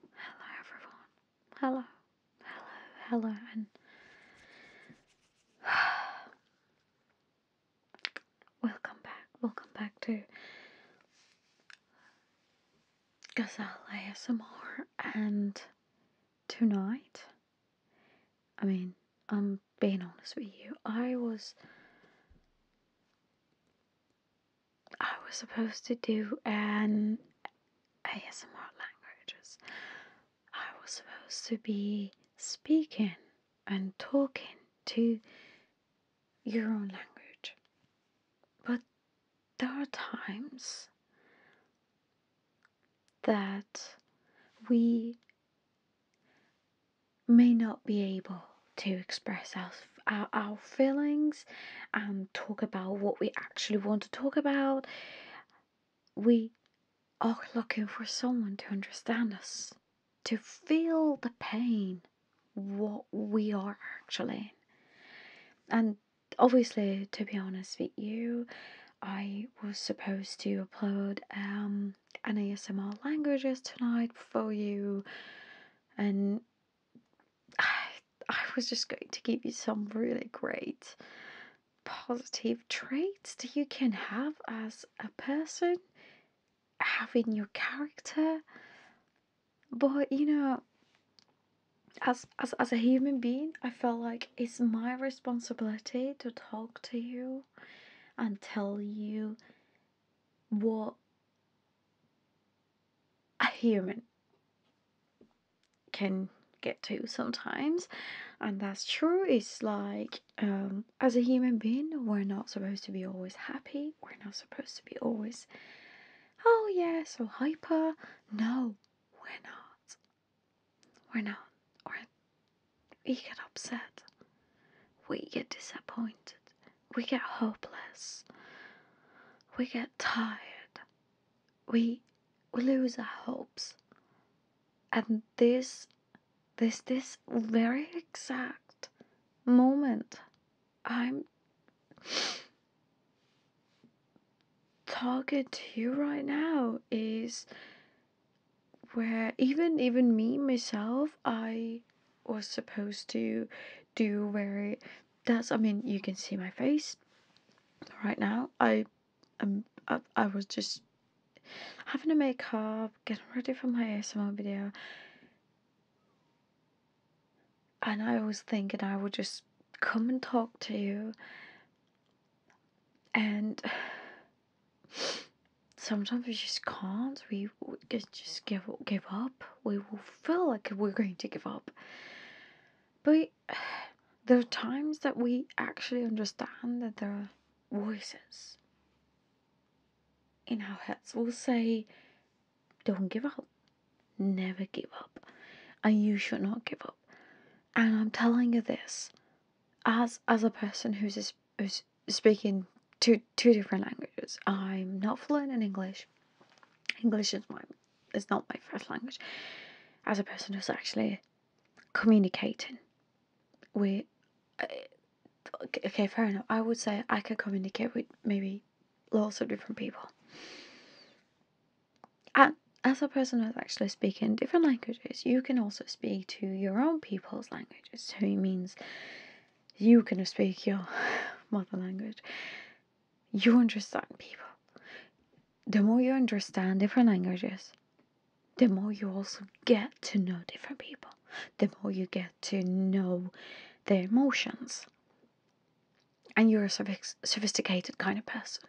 Hello everyone. Hello. Hello. Hello. And welcome back. Welcome back to Gazelle ASMR and tonight I mean, I'm being honest with you. I was I was supposed to do an ASMR languages. I was supposed to be speaking and talking to your own language. But there are times that we may not be able to express our, our, feelings and talk about what we actually want to talk about. We are looking for someone to understand us, to feel the pain, what we are actually in. And obviously, to be honest with you, I was supposed to upload um, an ASMR languages tonight for you, and I, I was just going to give you some really great positive traits that you can have as a person, having your character. But you know, as, as as a human being, I felt like it's my responsibility to talk to you and tell you what a human can get to sometimes and that's true it's like um, as a human being we're not supposed to be always happy we're not supposed to be always oh yeah so hyper no we're not we're not we get upset we get disappointed we get hopeless. We get tired. We we lose our hopes. And this this this very exact moment I'm talking to you right now is where even even me myself I was supposed to do where that's I mean you can see my face right now I um I, I was just having a makeup getting ready for my ASMR video and I was thinking I would just come and talk to you and sometimes we just can't. We just give give up. We will feel like we're going to give up. But there are times that we actually understand that there are voices in our heads will say, "Don't give up. Never give up, and you should not give up." And I'm telling you this, as as a person who's speaking two two different languages. I'm not fluent in English. English is my is not my first language. As a person who's actually communicating, we uh, okay, fair enough. I would say I can communicate with maybe lots of different people. And as a person who's actually speaking different languages, you can also speak to your own people's language language. So it means you can speak your mother language. You understand people. The more you understand different languages, the more you also get to know different people, the more you get to know their emotions. And you're a sophisticated kind of person.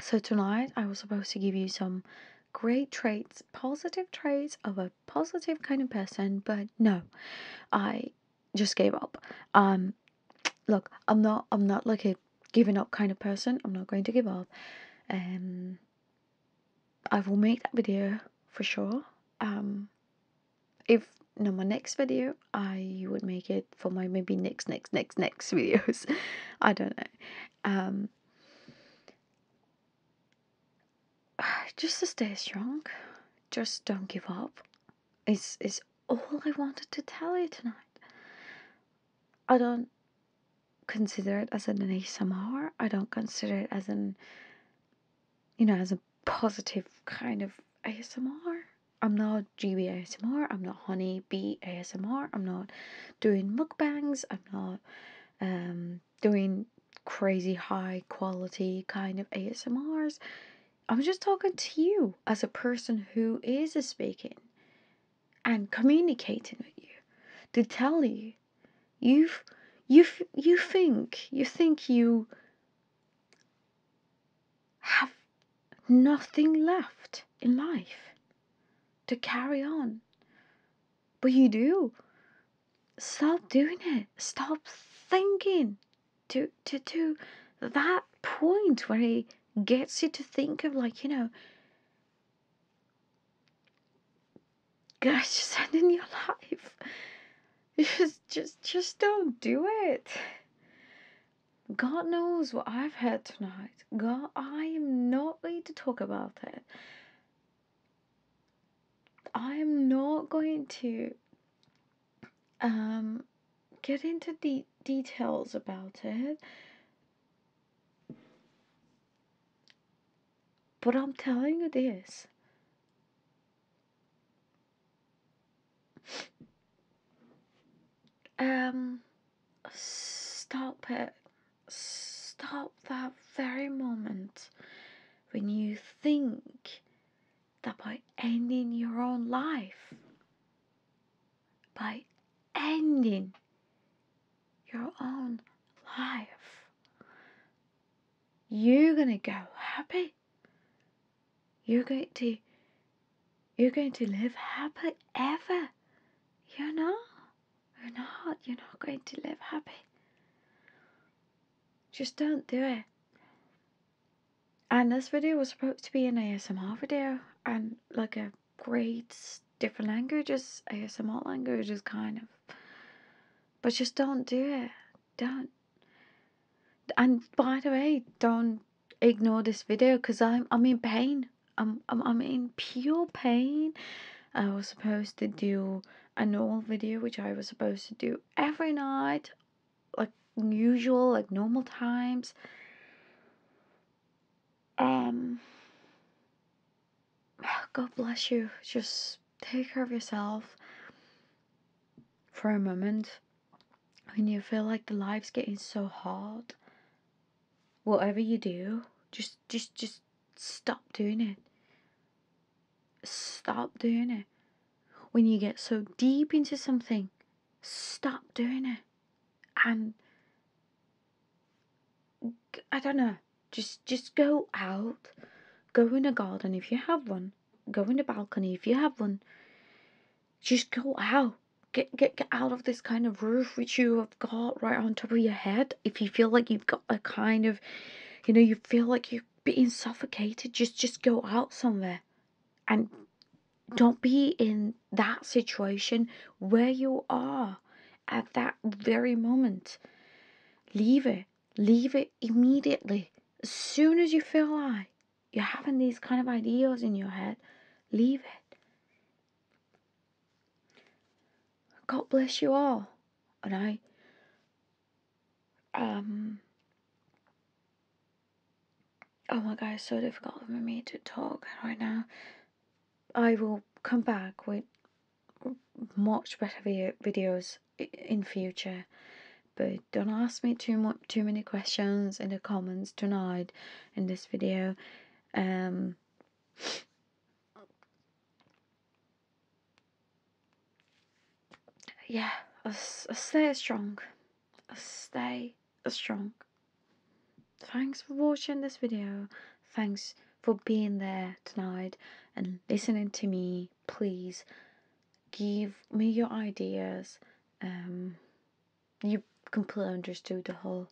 So, tonight I was supposed to give you some great traits, positive traits of a positive kind of person, but no, I just gave up. Um, look, I'm not, I'm not like a giving up kind of person. I'm not going to give up. Um, I will make that video for sure. Um, if not my next video, I would make it for my maybe next next next next videos. I don't know. Um, just to stay strong. Just don't give up. It's is all I wanted to tell you tonight. I don't consider it as an ASMR. I don't consider it as an you know as a positive kind of ASMR. I'm not GB ASMR. I'm not honey bee ASMR. I'm not doing mukbangs. I'm not um, doing crazy high quality kind of ASMRs. I'm just talking to you as a person who is speaking and communicating with you to tell you you you you think you think you have nothing left in life to carry on. But you do. Stop doing it. Stop thinking to, to, to that point where he gets you to think of, like, you know, gosh, just ending your life. Just, just, just don't do it. God knows what I've heard tonight. God, I am not going to talk about it. I am not going to um, get into de- details about it. But I'm telling you this um, stop it. Stop that very moment when you think that by ending your own life, by ending your own life, you're gonna go happy. You're going to you're going to live happy ever. You're not. You're not. You're not going to live happy. Just don't do it. And this video was supposed to be an ASMR video and like a great different language, languages, ASMR languages kind of. But just don't do it. Don't and by the way, don't ignore this video because I'm, I'm in pain. I'm, I'm, I'm in pure pain. I was supposed to do a normal video, which I was supposed to do every night, like usual, like normal times. Um, God bless you. Just take care of yourself for a moment when you feel like the life's getting so hard, whatever you do, just just just stop doing it. Stop doing it. When you get so deep into something, stop doing it. And I don't know, just just go out, go in a garden if you have one go in the balcony if you have one. Just go out. Get, get, get out of this kind of roof which you have got right on top of your head. If you feel like you've got a kind of, you know, you feel like you're being suffocated, just just go out somewhere, and don't be in that situation where you are at that very moment. Leave it leave it immediately. As soon as you feel like you're having these kind of ideas in your head, leave it. God bless you all. And I, um, oh my god, it's so difficult for me to talk right now. I will come back with much better video videos in future. But don't ask me too much, too many questions in the comments tonight in this video. Um, yeah, I'll, i stay strong. i stay strong. Thanks for watching this video. Thanks for being there tonight and listening to me. Please give me your ideas. Um, you completely understood the whole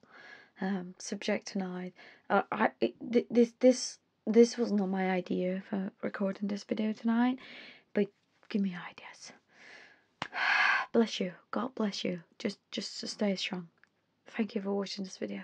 um, subject tonight. Uh, I it, th- this this this was not my idea for recording this video tonight, but give me ideas. bless you. God bless you. Just just stay strong. Thank you for watching this video.